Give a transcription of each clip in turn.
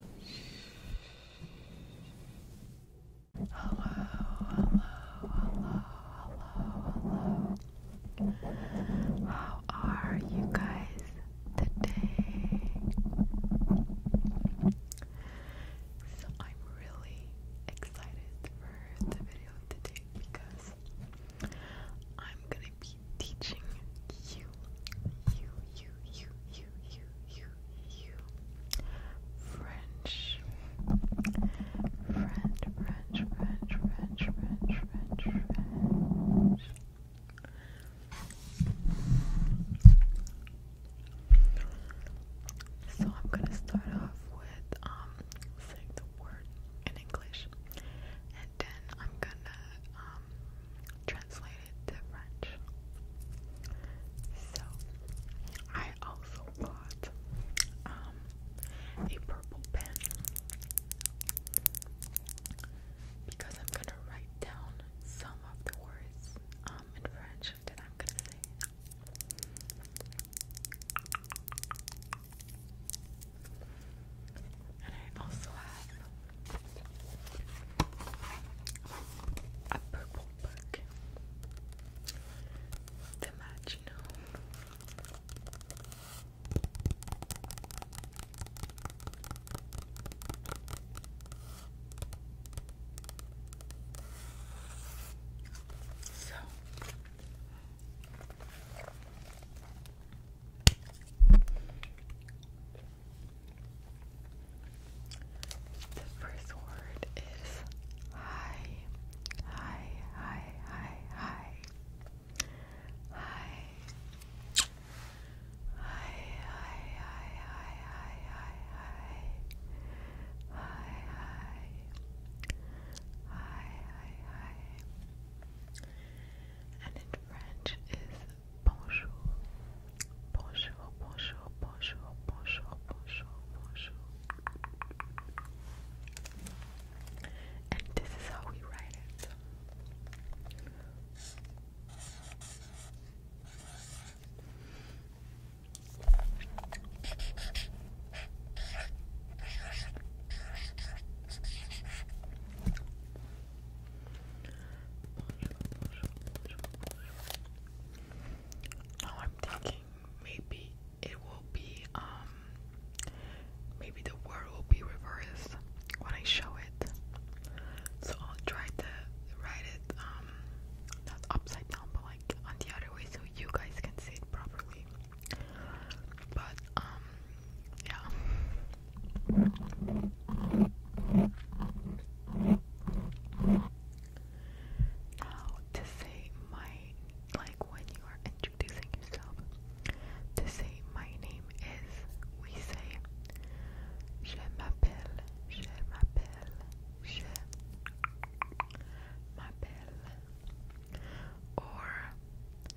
Hello, hello, hello, hello, hello. How are you guys today? So I'm really excited for the video today because I'm gonna be teaching you, you, you, you, you, you, you, you, you. French. French, French, French, French, French, French, French. So I'm gonna start off with um saying the word in English, and then I'm gonna um translated to French. So I also bought um, a purple pen because I'm gonna write down some of the words um, in French that I'm gonna say. And I also have a purple book. The Magino. So the first word is hi, hi, hi, hi, hi, hi, hi, hi, hi, hi, hi, hi, hi, hi, hi, hi, hi, hi, and in French is Bonjour, bonjour, bonjour, bonjour, bonjour, bonjour, bonjour. And this is how we write it. Now oh, I'm thinking maybe it will be um maybe the word will be reversed when I show it. So I'll try to write it um not upside down but like on the other way so you guys can see it properly. But um yeah. to say my like when you are introducing yourself to say my name is we say je m'appelle je m'appelle je m'appelle or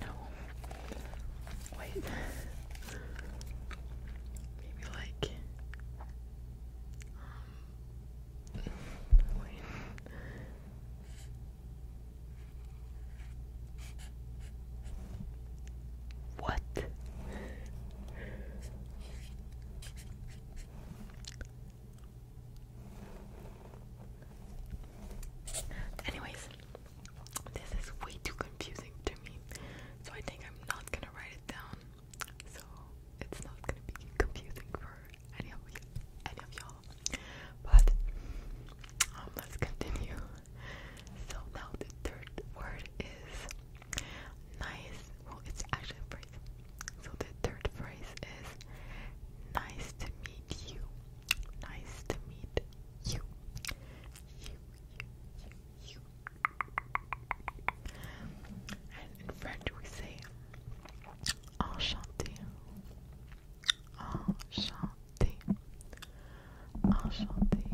No. Wait. Maybe like. Um. Wait. What? Anyways, this is way too confusing to me, so I think I'm not gonna write it down. So it's not gonna be confusing for any of any of y'all. But um, let's continue. So now the third word is nice. Well, it's actually a so the third phrase is nice to meet you. Nice to meet you. You, you, you, you. And in French we say enchanté. Enchanté. Enchanté.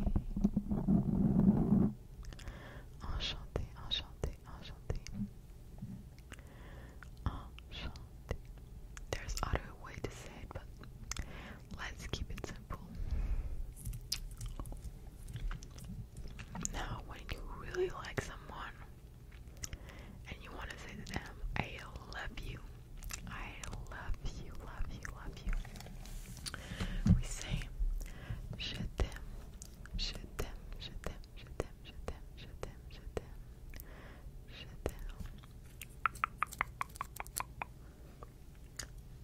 Enchanté, enchanté, enchanté. Enchanté. Um, there's other way to say it, but let's keep it simple. Now, when you really like someone and you want to say to them, I love you, I love you, love you, love you, we say, Je t'aime, je t'aime, je t'aime, je t'aime them, shut them, shut them, shut them, shut them.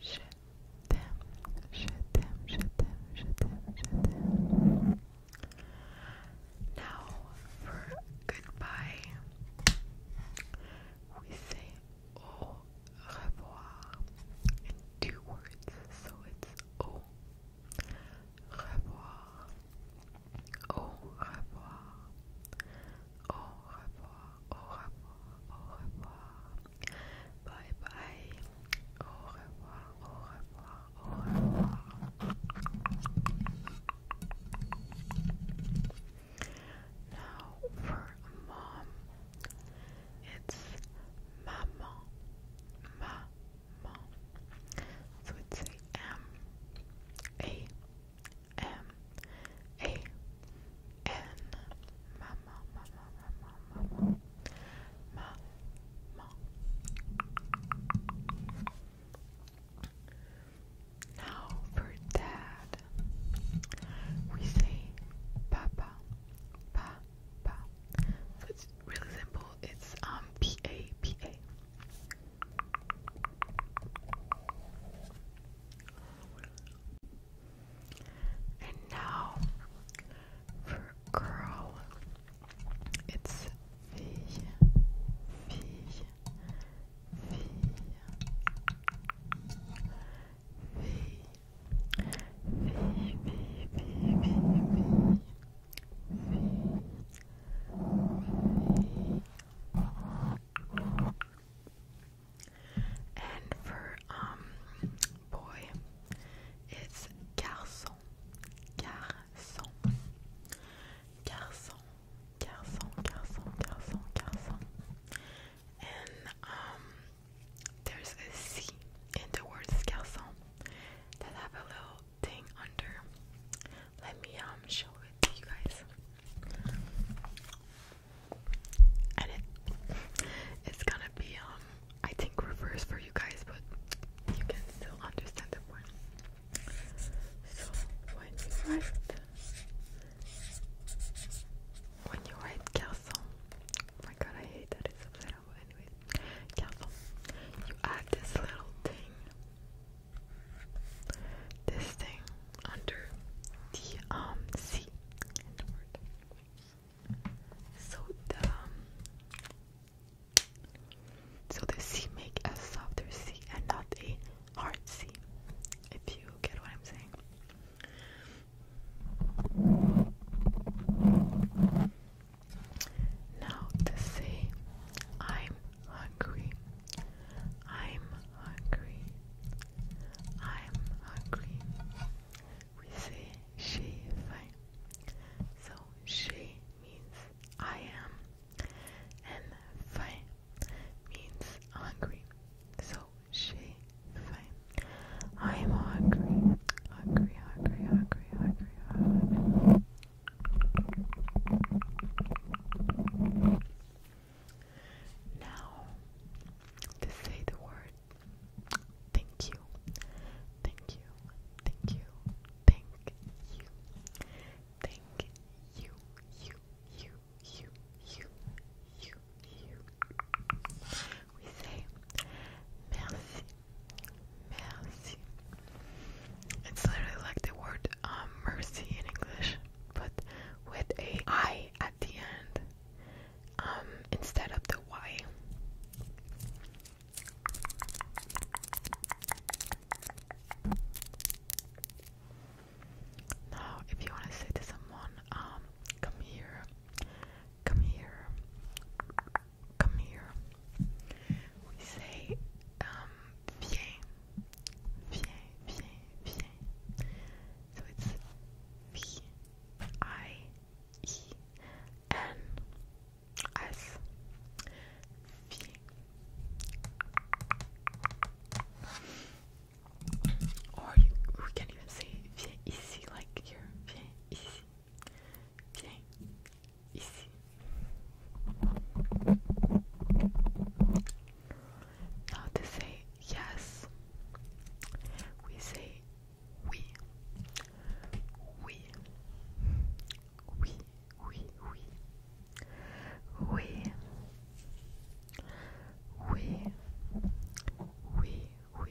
Shut them, shut them, shut them, shut them, shut them. Now for goodbye, we say au revoir in two words, so it's au revoir, au revoir, au revoir, au revoir, au revoir, bye bye, au revoir, au revoir, au revoir. Now for mom, it's maman, ma mall. So it's A-M, A-M, A-N, mama, mama, mama, mama, mama. Now for dad, we say papa, pa, pa. So it's really simple. It's um P A P A. And now for girl, it's fille, fille, fille, fille, fille, fille, fille, fille, fille. And for um boy, it's garçon, garçon, garçon, garçon, garçon, garçon, And um, there's a C in the word garçon that have a little thing under. Let me um show it to you guys. And it it's gonna be um I think reverse for you guys, but you can still understand the So when you write when you write castle, oh my god, I hate that it's a letter know, but you add this little thing, this thing under the um C So the um, so the C make a softer C and not a hard C. If you get what I'm saying. Now to say, I'm hungry. I'm hungry. I'm hungry. We say she faim. So she means I am, and faim means hungry. So she Fine. I'm hungry. Hungry, hungry, hungry, hungry, Now, to say the word thank you. Thank you. Thank you. Thank you. Thank you. You, you, you, you, you, you, we say merci, merci. It's literally like the word um, mercy in English, but with a I at the end um, instead of the Y. Now, if you want to say to someone, um, come here, Come here. Come here. We say, viens, um, viens, viens, viens. So it's V I E N S. Or you, can even say viens ici, like here, to say yes, we say oui. Oui. Oui, oui, oui. Oui. Oui. Oui, oui,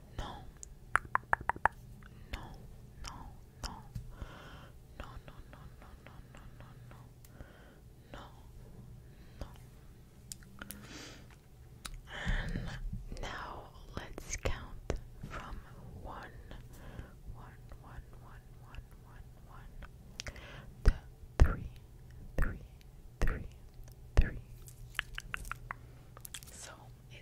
no. No, no, no. No, no, no, no, no, no, no, no. No. No. And now let's count from one, one, one, one, one, one, one, to three, three, three, three. So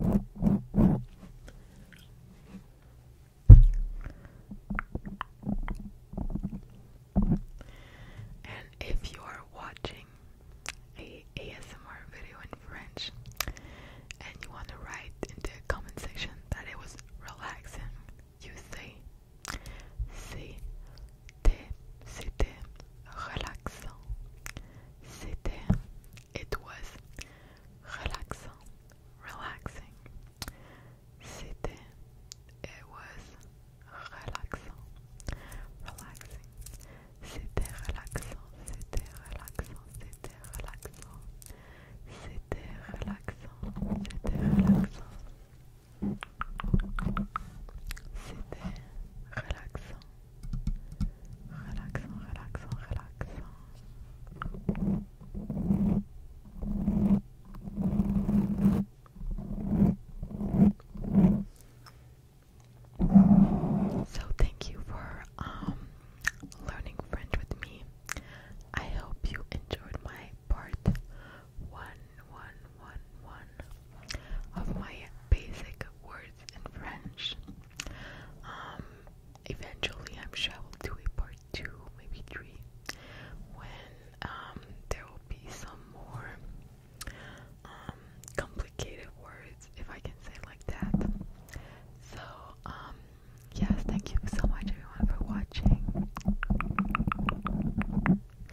And if you're watching a ASMR video in French and you want to write in the comment section that it was relaxing, you say c'était relaxant. C'était it was relaxant, relaxing. C'était, it was relaxant, relaxing. C'était relaxant, c'était relaxant, c'était relaxant. C'était relaxant, c'était relaxant. C'était relaxant. Relax, relaxant, relax. So thank you for um, learning French with me. I hope you enjoyed my part one, one, one, one of my basic word in French. Um, eventually, I'm sure I will do a part two, maybe three, when um, there will be some more um, complicated words, if I can say it like that. So, yes, thank you so much, everyone, for watching.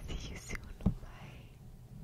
See you soon. Bye.